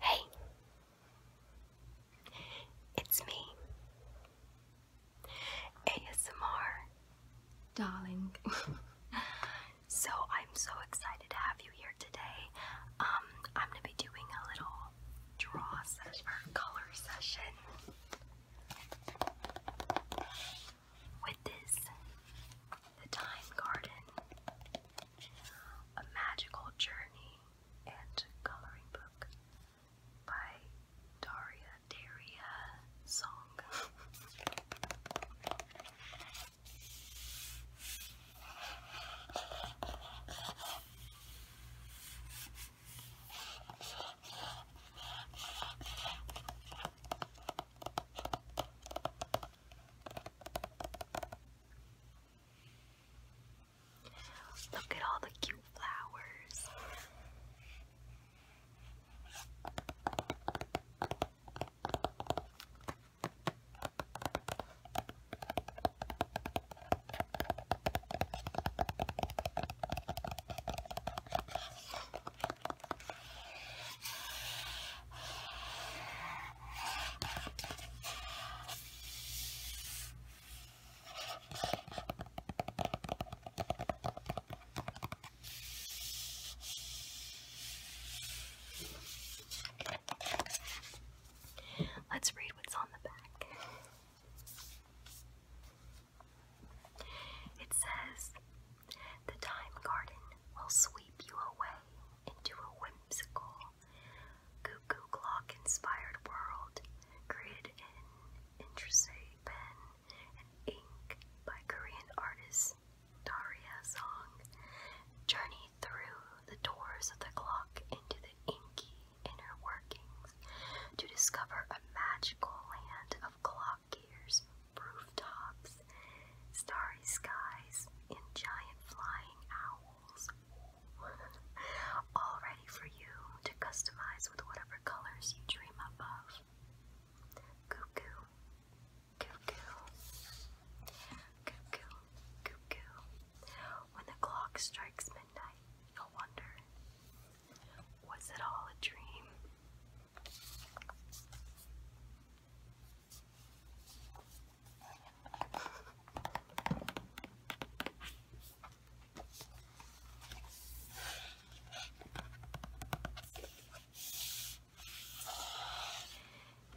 Hey, it's me, ASMR, darling. so I'm so excited to have you here today. Um, I'm gonna be doing a little draw session color session with this, the Time Garden. A Magical Journey and Coloring Book by Daria Daria Song. Look at all the cute flowers. Let's read what's on the back. It says, The time garden will sweep you away into a whimsical, cuckoo clock inspired world created in intricate pen and ink by Korean artist Daria Song. Journey through the doors of the clock into the inky inner workings to discover a magical land of clock gears, rooftops, starry skies, and giant flying owls, all ready for you to customize with whatever colors you dream up of. Cuckoo, cuckoo, cuckoo, cuckoo. When the clock strikes midnight, you wonder, was it all a dream?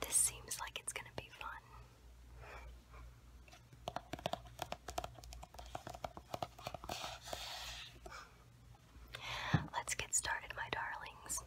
This seems like it's going to be fun. Let's get started, my darlings.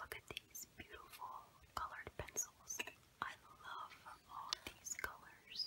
Look at these beautiful colored pencils. I love all these colors.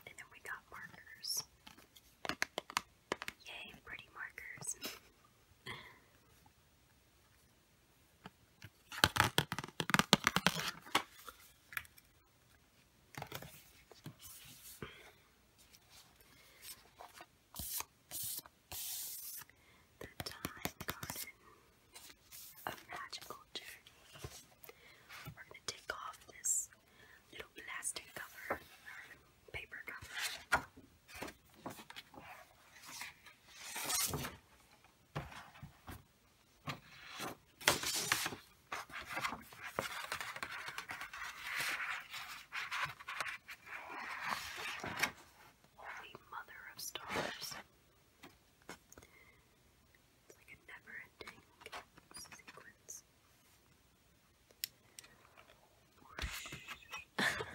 And then we got markers. Yay, pretty markers. The Time Garden of Magical Journey. We're going to take off this little plastic cover, or paper cover. Holy Mother of Stars. It's like a never ending sequence.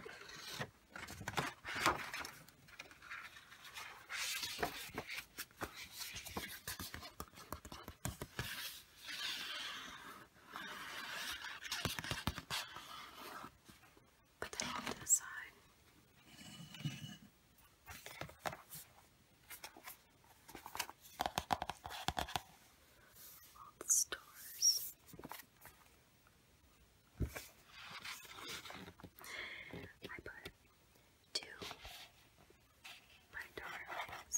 Put that to the side. All the stores. I put two my darlings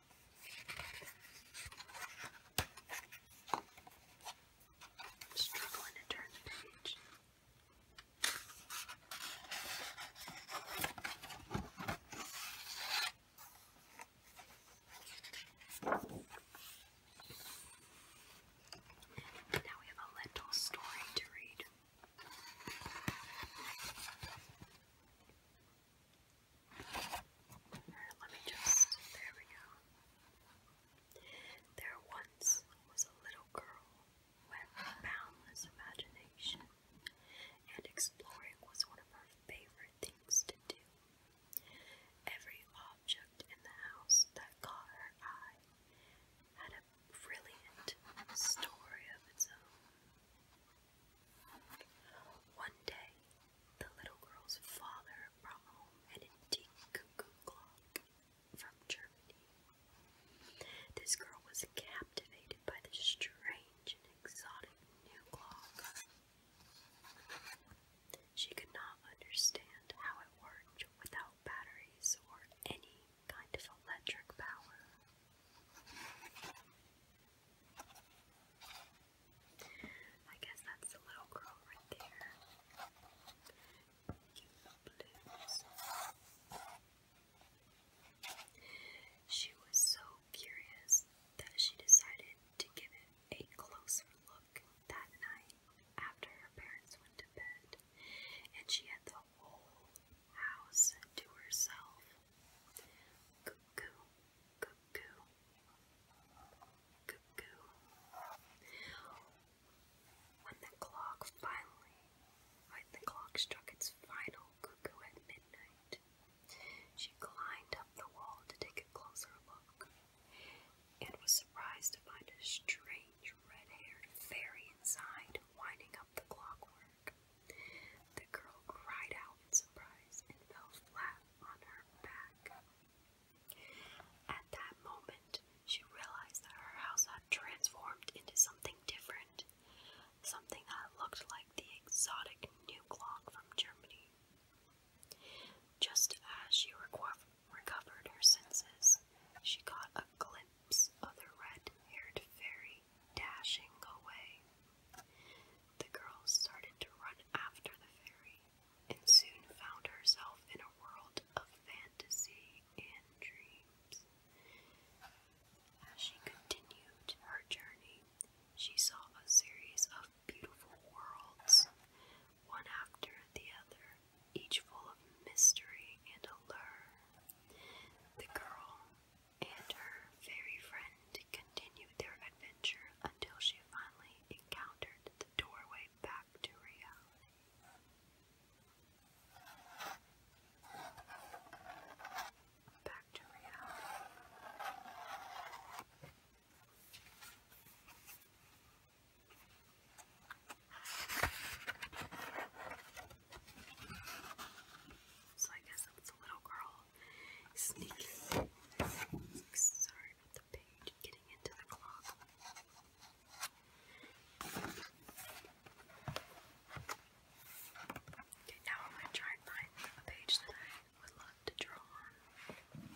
I'm struggling to turn the page. Now we have a little story to read. Let me there once was a little girl who boundless imagination, and exploring was one of her favorite things to do. Every object in the house that caught her eye had a brilliant story of its own. One day, the little girl's father brought home an antique cuckoo clock from Germany. This girl was captivated by the strange and exotic new clock. She could not understand how it worked without batteries or any kind of electric power. I guess that's the little girl right there. She was so curious that she decided to give it a closer look that night after her parents went to bed, and she had the whole house to herself. Cuckoo. When the clock finally, when the clock struck its final cuckoo at midnight, she climbed up the wall to take a closer look and was surprised to find a strange red haired fairy inside winding up the clockwork. The girl cried out in surprise and fell flat at that moment, she realized that her house had transformed into something different, something that looked like the exotic new clock from Germany. Just as she recovered her senses, she caught a glimpse of the red haired fairy dashing away the girl started to run after the fairy and soon found herself in a world of fantasy and dreams. As she continued her journey, she saw a series of beautiful worlds, one after the other, each full of mystery and allure. The girl, and her fairy friend continued their adventure until she finally encountered the doorway back to Rio. Back to reality. So I guess it's a little girl sneaking. Sorry about the page getting into the clock. Okay, now I'm going to find a page that I would love to draw on.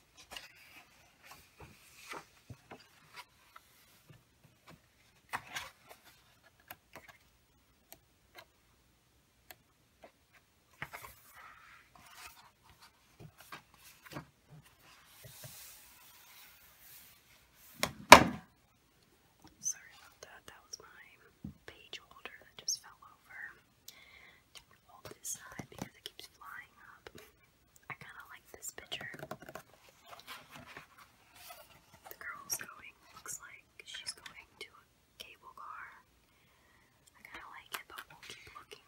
Sorry about that. That was my page holder that just fell over. Hold this side because it keeps flying up. I kind of like this picture. The girl's going, looks like she's going to a cable car. I kind of like it, but we'll keep looking.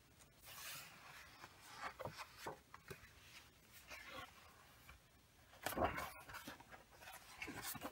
All the stars.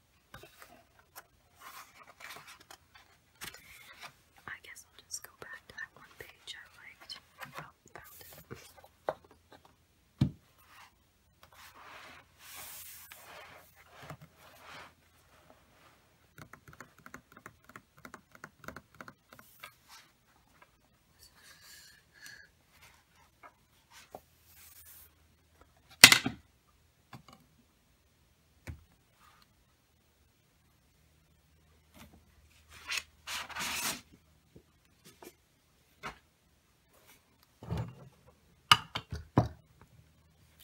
I guess I'll just go back to that one page I liked. Oh,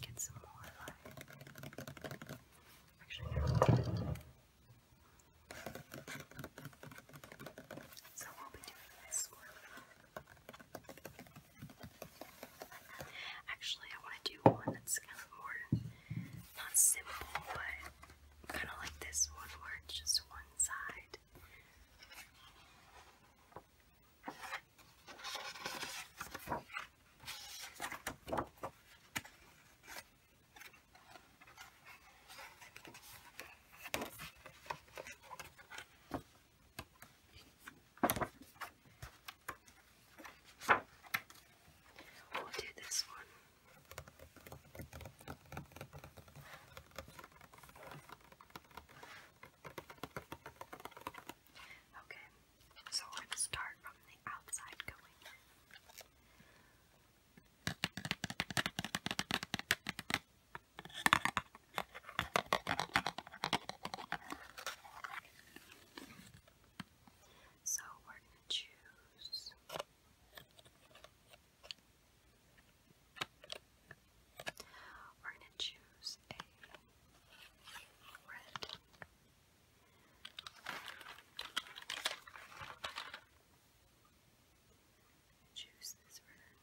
Get some more light. Actually, no. So we'll be doing this one. Actually, I want to do one that's kind of more not simple, but kind of like this one where just one side. We'll do this one. Okay, so we're start from the outside going so we're going to choose we're going to choose a red. Choose this red.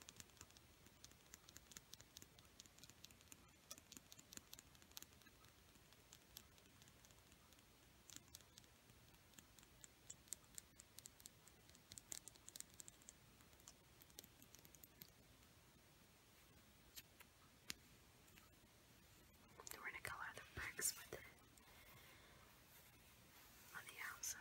We're going to color the bricks with it on the outside.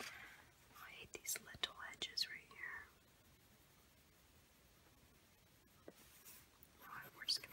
I hate these little edges right here. Alright, we're just gonna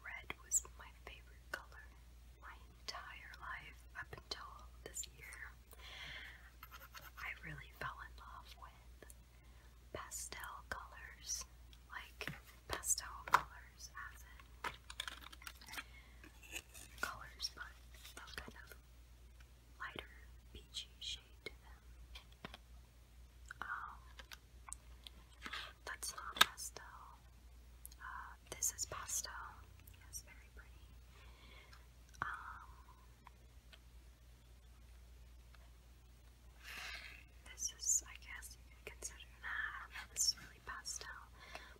Red was my favorite color my entire life up until this year. I really fell in love with pastel colors, like pastel colors colors but a kind of lighter peachy shade that's not pastel. Uh, this is pastel. Yes, very pretty. Um, this is, I guess, you could consider. Nah, I really pastel,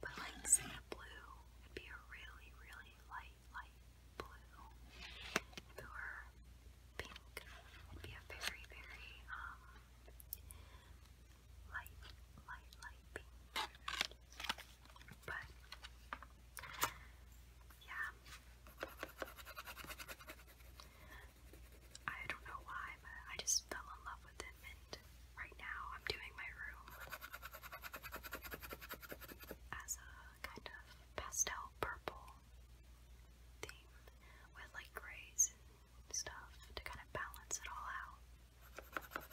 but like say a blue would be a really, really light, light blue. If pink, would be a very, very um light, light, light But yeah, I don't know why, but I just fell in love with it, right now I'm doing my room as a kind of pastel purple theme with like grays stuff to kind of balance it all out.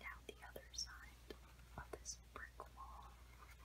Now, the other side of this brick wall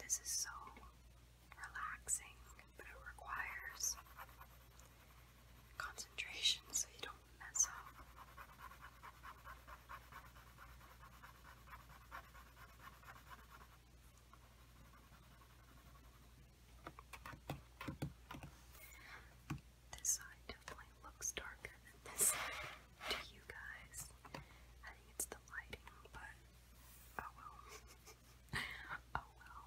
This is so relaxing, but it requires concentration so you don't mess up. This side definitely looks darker than this side to you guys. I think it's the lighting, but oh well. oh well.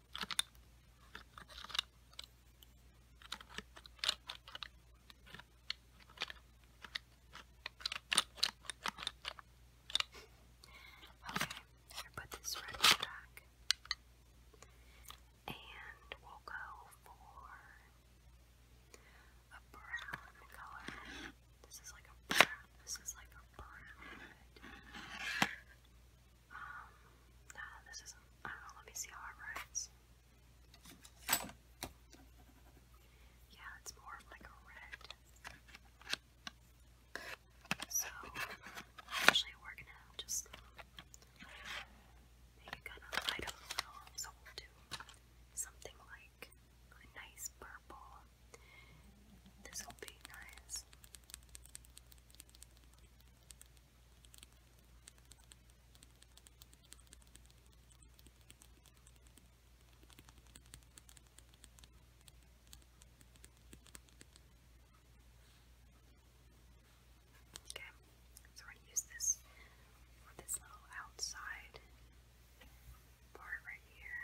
Okay, I put this right back. And we'll go for a brown color. This is like a brown. This is like a brown. Um, no, this isn't. I don't know. Let me see how it writes. Yeah, it's more like a red. So, actually, we're gonna just make it kind of light up a little. So, we'll do something like a nice purple. This will be nice. Okay, so we're going to use this for this little outside part right here.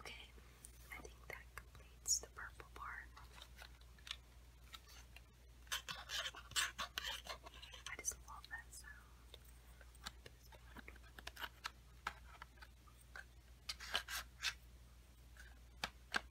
Okay, I think that completes the purple part. I just love that sound.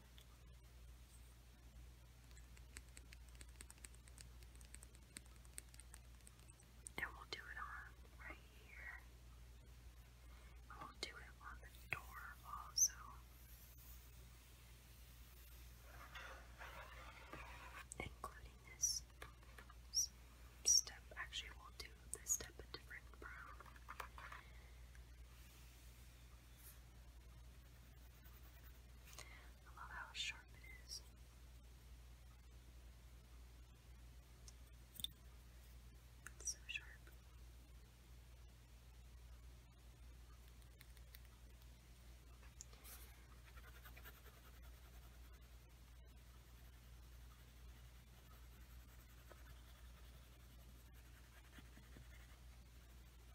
And we'll do it on right here. we'll do it on the door also. Including this step. Actually, we'll do this step a different brown. I love how sharp it is. It's so sharp. I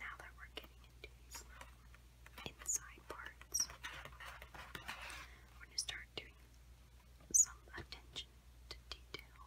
Now that we're getting into these inside parts, we're going to start doing some attention to detail.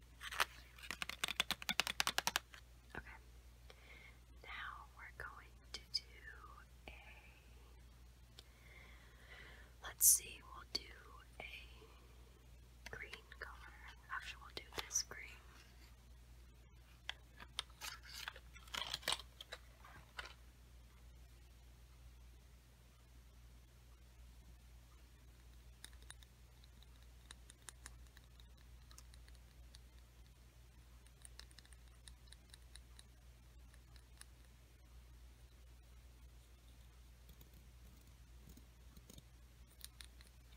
Okay. Now we're going to do a. Let's see, we'll do a green color. Actually, we'll do this green.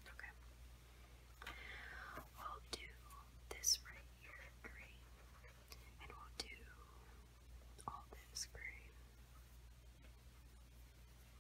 Okay. We'll do this right here green. And we'll do all this green.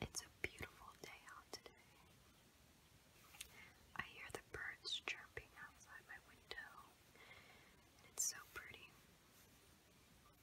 It's a beautiful day out today. I hear the birds chirping outside my window, and it's so pretty.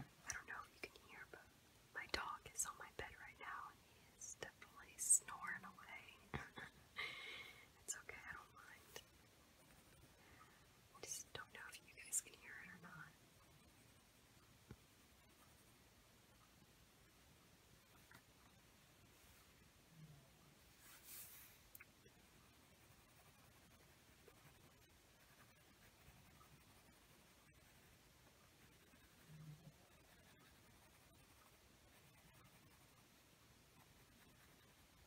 I don't know if you can hear, but my dog is on my bed right now and he is definitely snoring away. it's okay, I don't mind. I just don't know if you guys can hear it or not.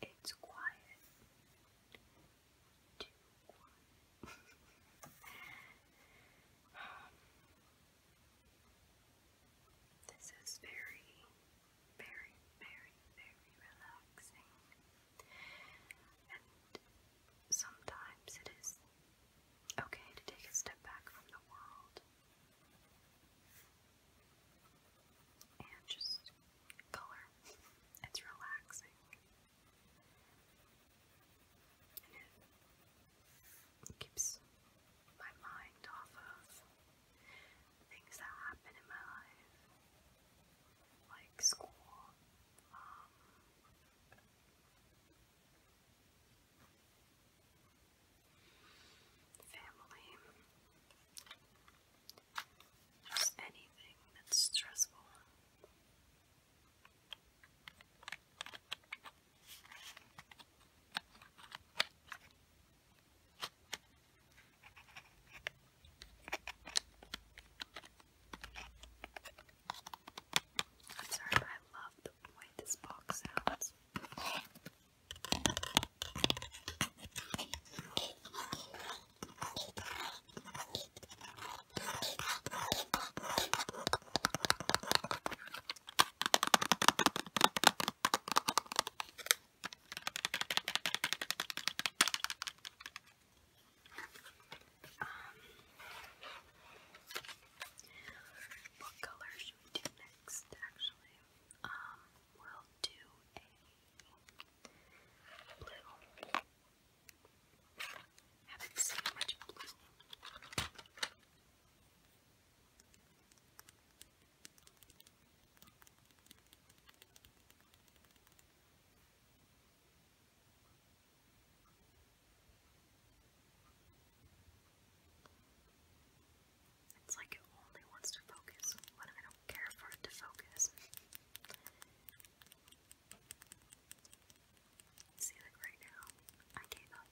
It's quiet. this is very, very, very, very relaxing. And sometimes it is okay to take a step back from the world and just color. It's relaxing. And it keeps my mind off of things that happen in my life, like school, um, family, just anything that's stressful. sorry, I love the this box sounds. Um, what color should we do next, actually? Um, we'll do a blue. Haven't seen much blue. It's like it only wants to focus when I don't care for it to focus. See, like right now, I gave up,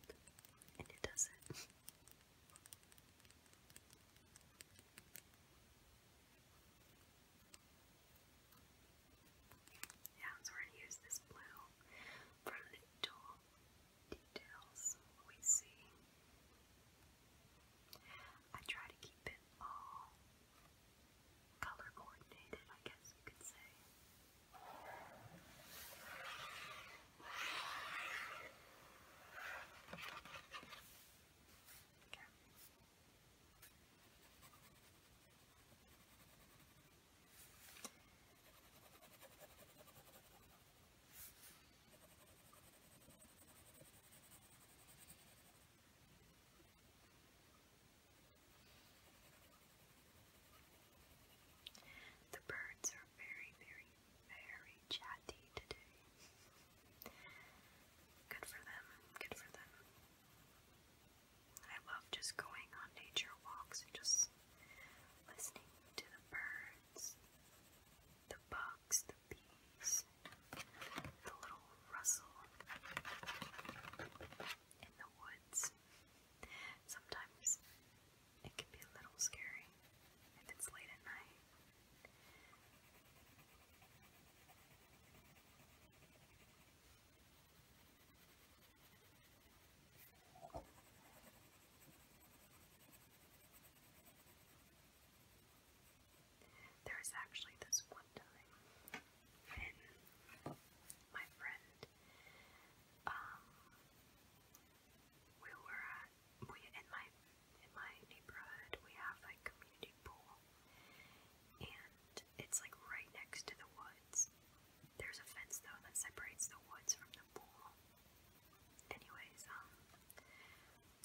and it does it. yeah, so we're gonna use this blue from the dual details we see. I try to keep it all color coordinated, I guess you could say. Okay. The birds are very, very, very chatty today. Good for them, good for them. I love just going on nature walks and just listening to the birds the bugs, the bees, the little rustle in the woods. Sometimes it can be a little scary if it's late at night. There actually this one time when my friend, um, we were at, we in my in my neighborhood we have like community pool, and it's like right next to the woods. There's a fence though that separates the woods from the Anyways, um,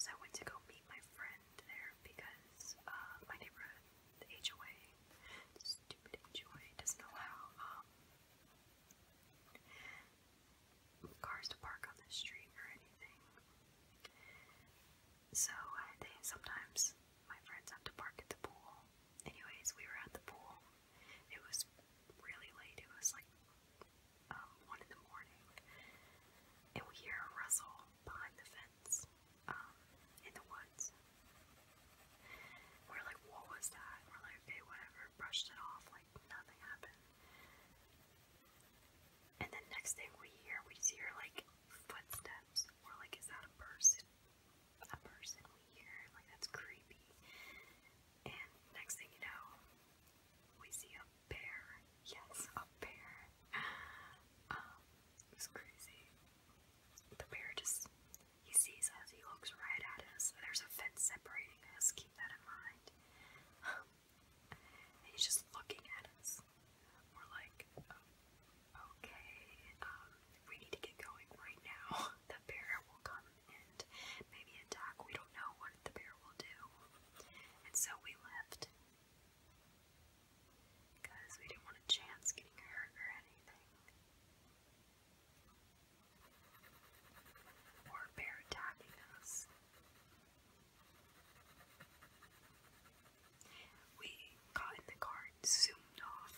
so I went to go meet my friend there because uh, my neighborhood, the HOA, stupid HOA, doesn't allow um, cars to park on the street or anything. So uh, they sometimes my friends have to park at the pool. Anyways, we were at the pool it was really late. It was like um, one in the morning, and we hear a rustle behind the fence um, in the woods. We're like, what was that? We're like, okay, whatever. Brushed it off like nothing happened. And then next thing we hear, we just hear like footsteps. We're like, is that a person? A person we hear? Like that's creepy. And next thing you know, we see a bear. Yes, a bear. Um, it was crazy. The bear just, he sees us, he looks right at us. There's a fence separating us, keep that in mind. he's just looking at us. We're like, oh, okay, um, we need to get going right now. The bear will come and maybe attack. We don't know what the bear will do. And so we left. Because we didn't want a chance getting hurt or anything. Or bear attacking us. We got in the car and zoomed off.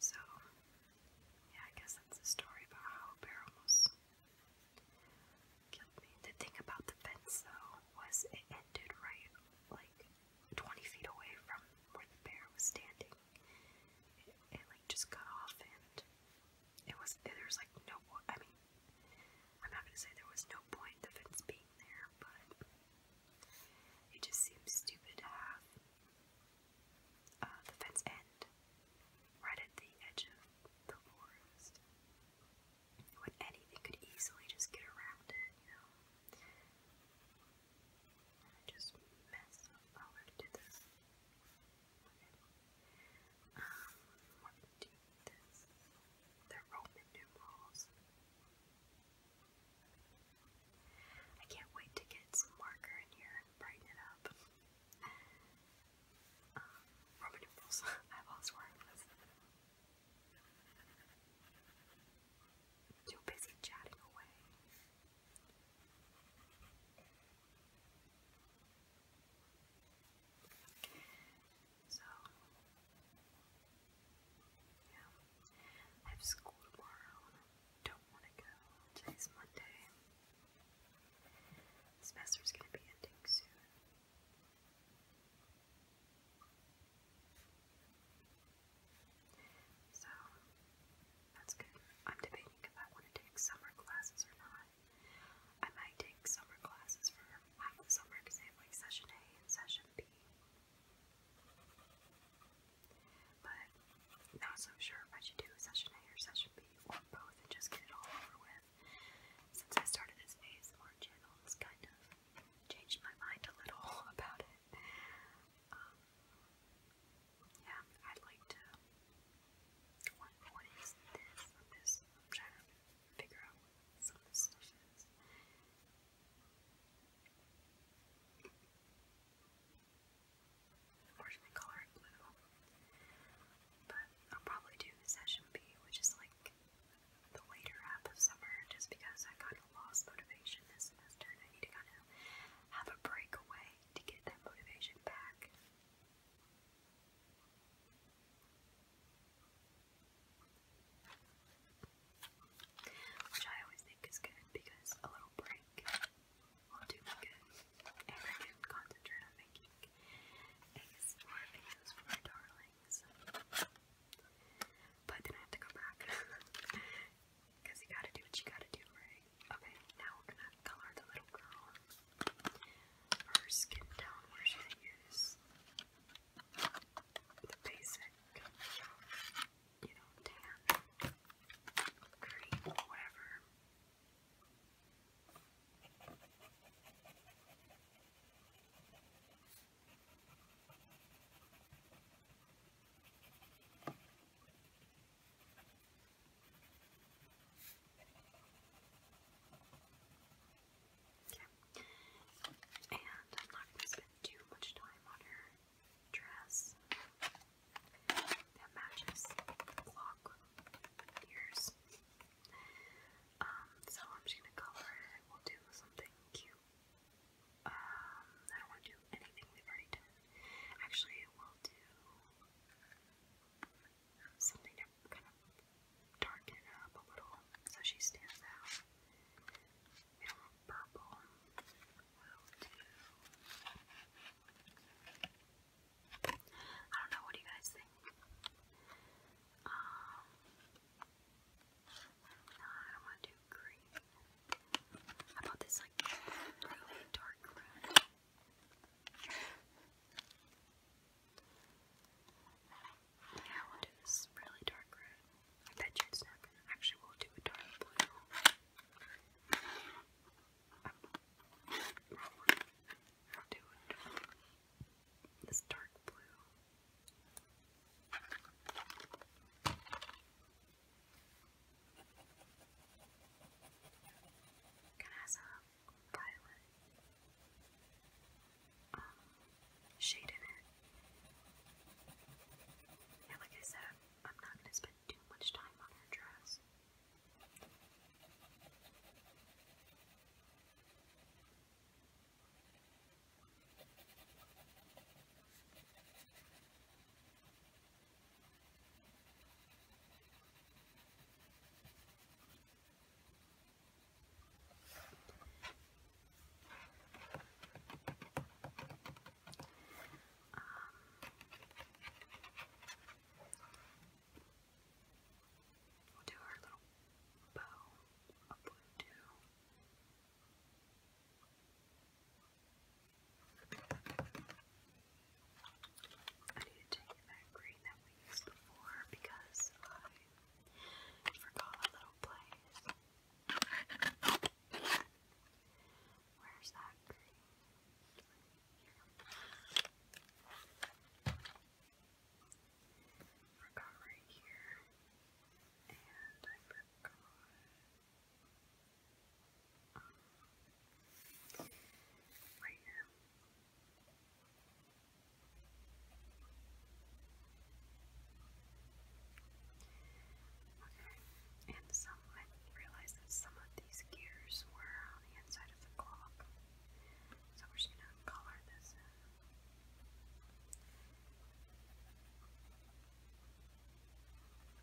So, yeah, I guess that's the story about how a bear almost killed me. The thing about the fence, though, was it ended right, like, 20 feet away from where the bear was standing. It, like just cut off and it was, there's like no, I mean, I'm not gonna say there was no point of its being there, but it just seems stupid to have uh, the fence end right at the edge of the forest when anything could easily just get around it, you know. I just mess up over oh, to this. Um, do this. they Roman numerals. I can't wait to get some marker in here and brighten it up. Um, Roman numerals. I've always worn this. Too busy chatting away. So, yeah, I have school tomorrow don't want to go. Today's Monday. The semester's gonna be ending soon. So, that's good. I'm debating if I want to take summer classes or not. I might take summer classes for summer because they session A and session B. But not so sure if I should do session A or session B or both and just get it all over with. Since I started this ASMR channel, it's kind of changed my mind a little about it. Um, yeah, I'd like to. What, what is this? This I'm trying to figure out what some of this color it blue, but I'll probably do session B, which is like the later half of summer, just because I kind of lost motivation this semester I need to kind of have a breakaway to get that motivation back. Which I always think is good because a little break will do me good. And I can concentrate on making eggs or videos for my darlings. But then I have to come back Because you gotta do what you gotta do, right? Okay, now we're gonna color the little girl. Her skin down where she is. The basic, you know, tan, green, whatever. Okay, yeah. And I'm not going to spend too much time on her dress that matches clock ears. Um, so I'm just going to color. We'll do something cute um, I don't want to do anything we Actually, we'll do something to kind of darken up a little so she stands out. We purple. I don't know, what do you guys think? Um, no, I don't want to do green. How about this, like, really dark red? Yeah, we'll do this really dark red. I bet you it's not Actually, we'll do a dark blue. we'll do a dark, this dark blue. Can has a violet um, shade in it. Yeah, like I said, I'm not gonna spend too much time on her dress. Um, we'll do our little bow of blue too. I need to take green that we before because I forgot a place. Where's that Forgot right here. And I forgot right now. Okay, and some I realized that some of these gears were on the inside of the clock, so we're just gonna color this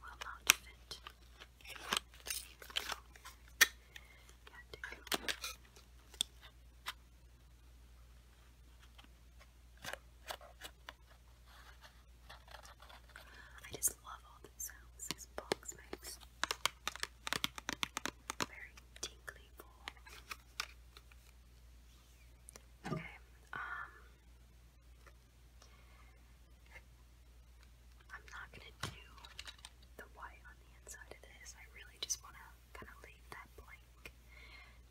Will not fit. Can't do. I just love all these sounds Very tingly Okay, um I'm not gonna do the white on the inside of this. I really just wanna kinda leave that blank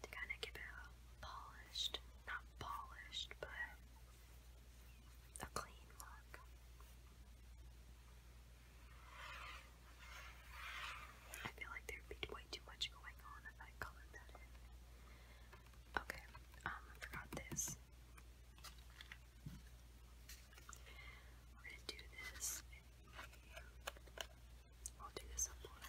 to kinda give it a polished not polished but a clean look. I feel like there'd be way too much going on if I colored that in. Okay, um, I forgot this. We're gonna do this. I'll do this on blue.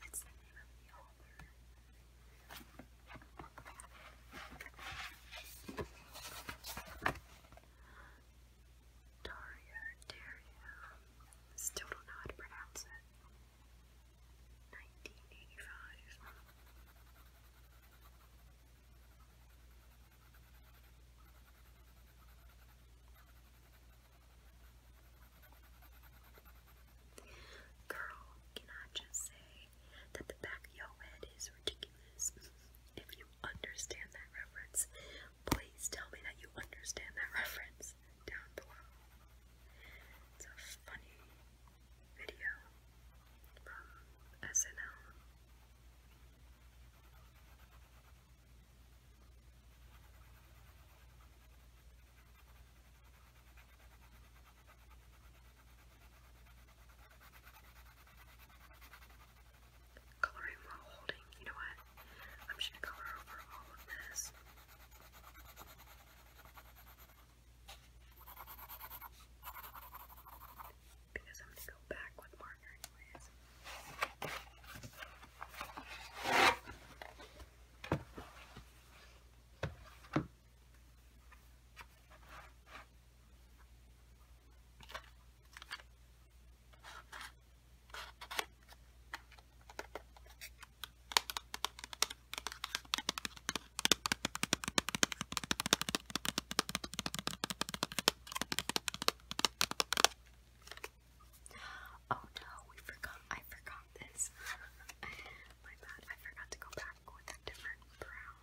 That's Daria, Daria. Still don't know how to pronounce it. 1985. Girl, can I just say that the back of your head is ridiculous? if you understand that reference, please tell me that you understand that reference down below. It's a funny video from SNL. Coloring while holding. You know what? I'm just gonna color over all of this because I'm gonna go back with marker anyways. Okay, Oh no, we forgot. I forgot this. My bad. I forgot to go back with a different brown.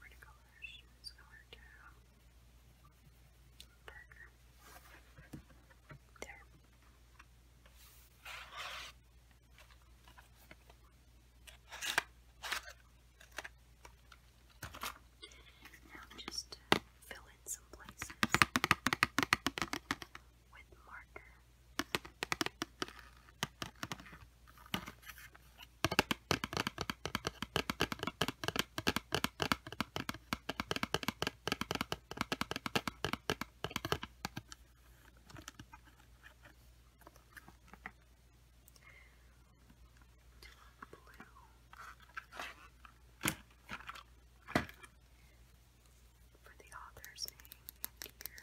Pretty colors. It's color to darker. There. Now just uh, fill in some places with marker blue for the author's name here.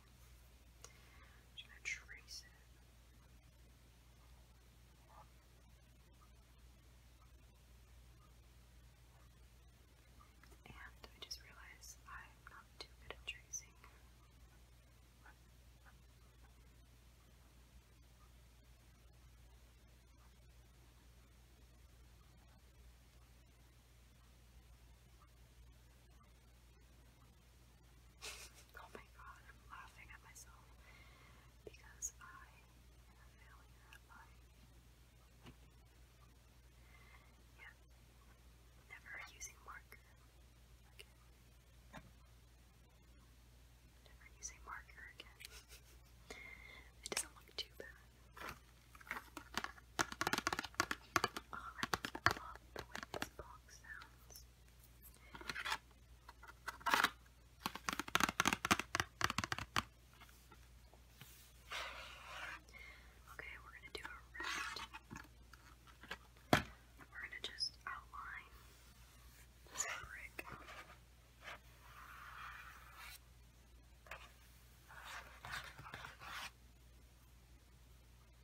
I'm going to trace it. And I just realized I'm not too good at tracing. oh my god, I'm laughing at myself because I am a at life. Yeah, never using marker again. Never using marker again. it doesn't look too bad. Oh, I love the way this box sounds. Okay, we're going to do a red. We're going to just outline this brick.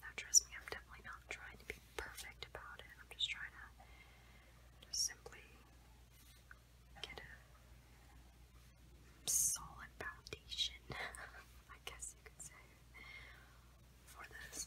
Now, trust me, I'm definitely not trying to be perfect about it. I'm just trying to just simply get a solid foundation, I guess you could say, for this.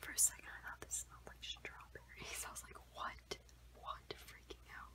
For a second, I thought this smelled like strawberries. I was like, what? What? Freaking out.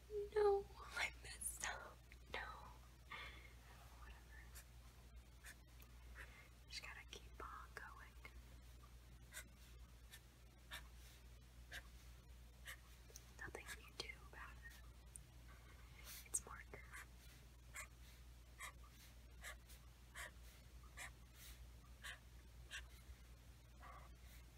no, I messed up, no. Whatever. Just gotta keep on going. Nothing you can do about it. It's marker.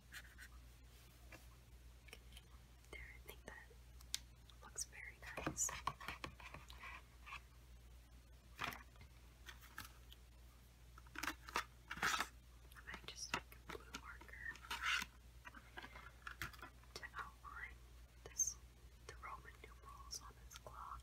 There, I think that looks very nice. I might just take a blue marker to outline this the Roman numerals on this clock.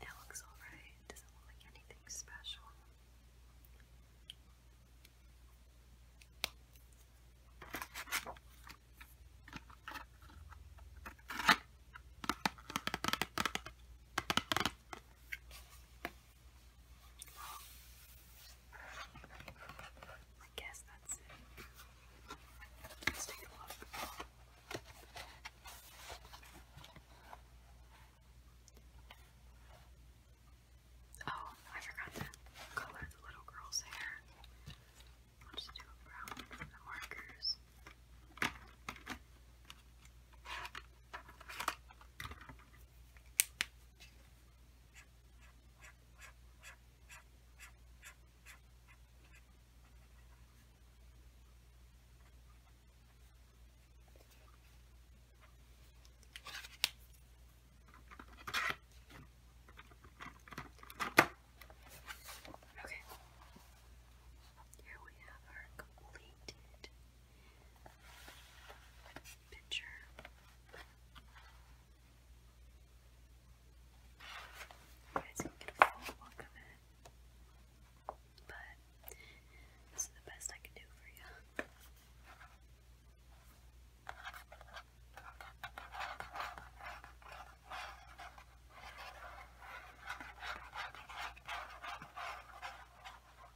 It looks alright, doesn't look like anything special. I guess that's it. Let's take a look. Oh, I forgot to color the little girl's hair. I'll just do a brown with the markers. Okay. Here we have our completed picture. But this is the best I can do for you.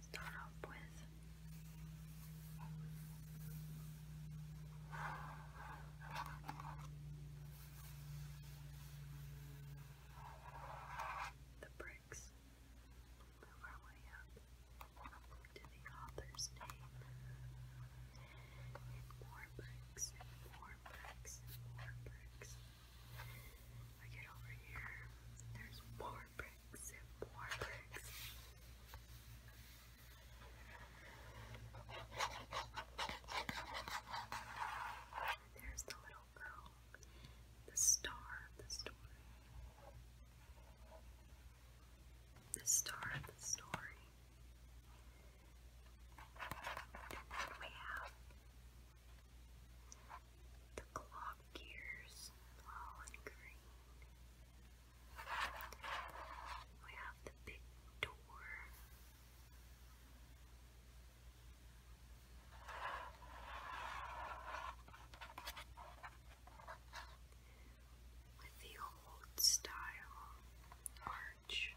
start off with. The bricks. move our way up to the author's name. more bricks, more bricks, more bricks. I get over here, there's more bricks. There's the little girl, the star of the story. The star of the story. we have the clock gears, all in green. We have the big door. With the old style arch.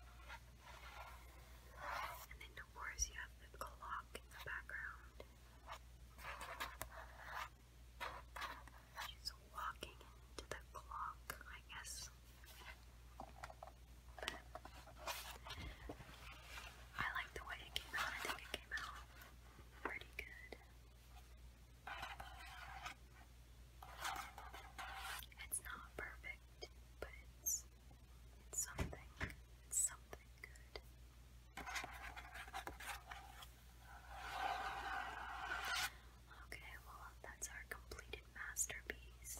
And then, of course, you have the clock in the background. She's walking into the clock, I guess. I like the way it came out. I think it came out pretty good. It's not perfect, but it's something. It's something good. Okay, well, that's our completed masterpiece.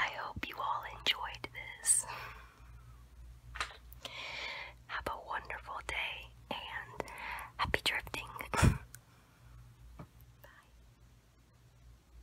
I hope you all enjoyed this. Have a wonderful day and happy drifting. Bye.